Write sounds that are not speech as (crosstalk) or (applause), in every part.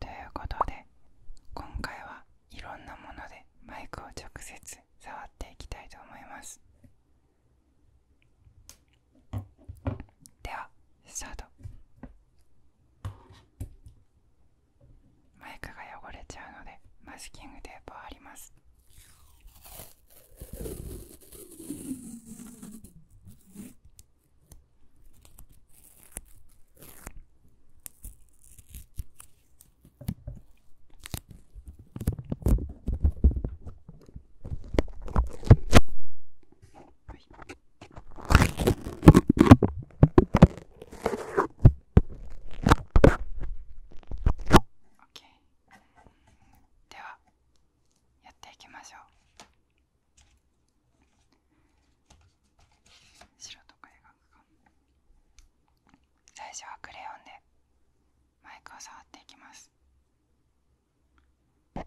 ということで今回はいろんなものでマイクを直接触っていきたいと思いますではスタートマイクが汚れちゃうのでマスキングテープを貼りますではやっていきましょう白とか描くか最初はクレヨンでマイクを触っていきますめ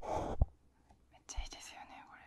っちゃいいですよねこれ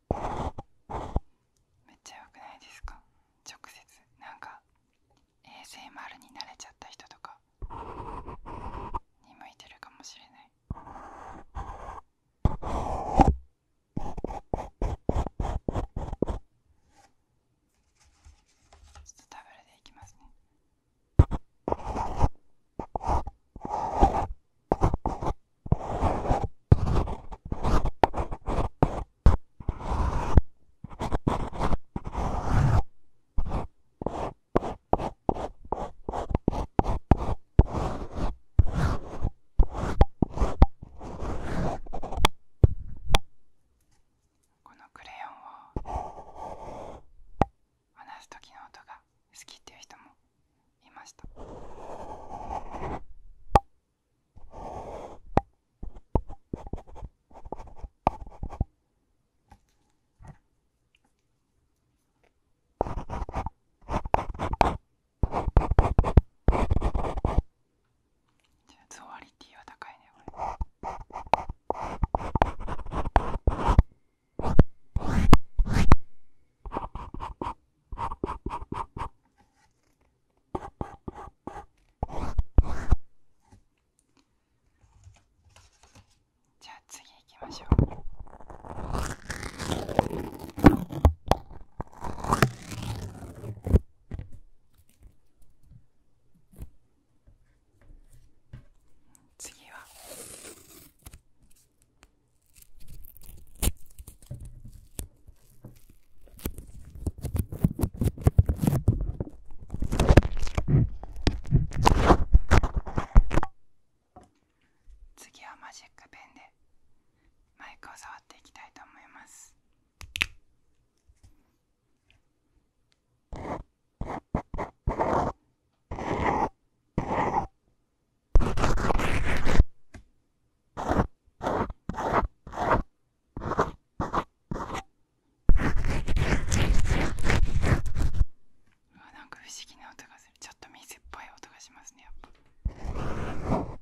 めっちゃ良くないですか直接なんか a s 丸になれちゃった人とかに向いてるかもしれないちょっとダブルでいきますねこのクレヨンを話す時の音が好きっていう人もいました。ズワリティは高いねこじゃあ次行きましょう。次は次はマジックペンでマイクを触っていきたいと思います。うなんか不思議な音がするちょっと水っぽい音がしますねやっぱ。う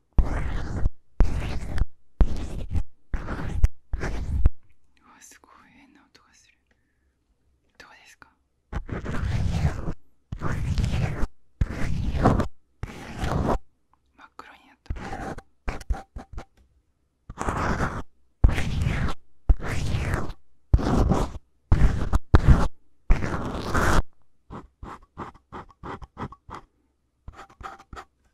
あすごい変な音がするどうですか真っ黒になった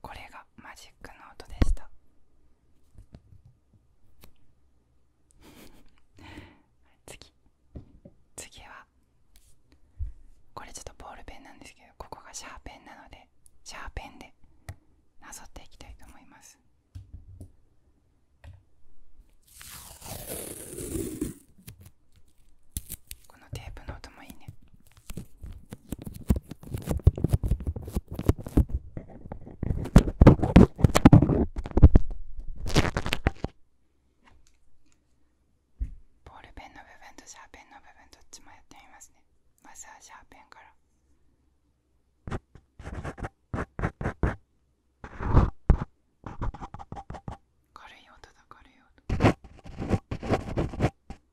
これがマジックノートでした (laughs) 次次はこれちょっとボールペンなんですけどここがシャーペンなのでシャーペンでなぞっていきたいと思いますこのテープの音もいいねボールペンの部分とシャーペンの部分どっちもやってみますねまずはシャーペンから。軽い音だ軽い音。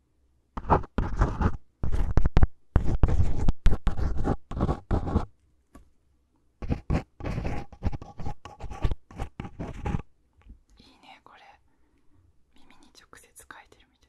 いいねこれ耳に直接書いてるみたい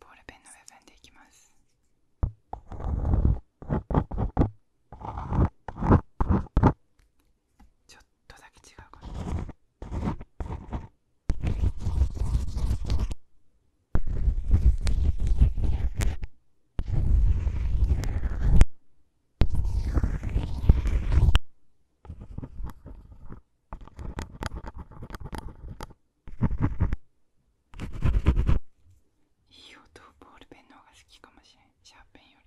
ボールペンの部分でいきます。ちょっとだけ違うかな。いい音ボールペンの方が好きかもしれんシャーペンより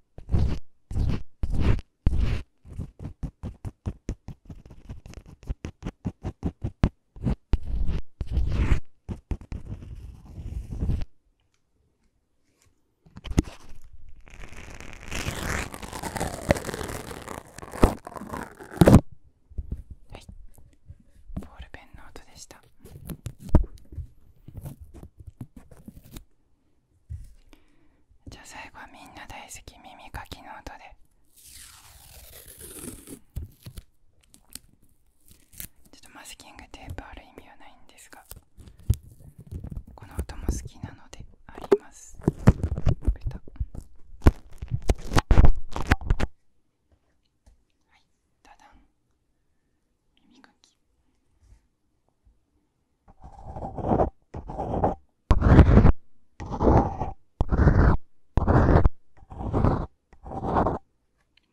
はいボールペンの音でした。じゃあ最後はみんな大好き耳かきの音でちょっとマスキングテープある意味はないんですがこの音も好きなのであります歌はいダダン耳かき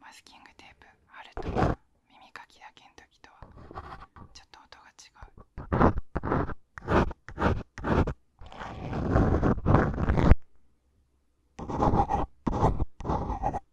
マスキングテープ貼ると耳かきだけの時とはちょっと音が違う。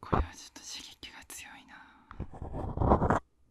これはちょっと刺激が強いな。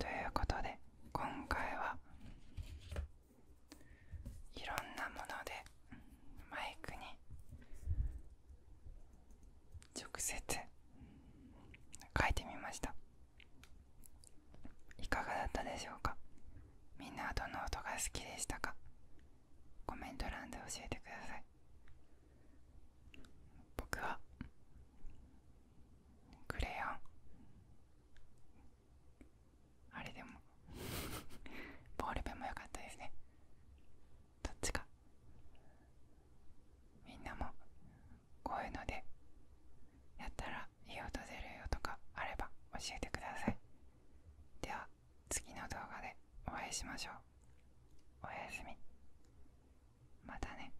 ということで今回はいろんなものでマイクに直接書いてみましたいかがだったでしょうかみんなどの音が好きでしたかコメント欄で教えてください僕はクレヨンあれでも (laughs) ボールペンも良かったですねどっちかみんなもこういうのでやったらいい音出るよとかあれば教えてくださいでは次の動画でお会いしましょうおやすみまたね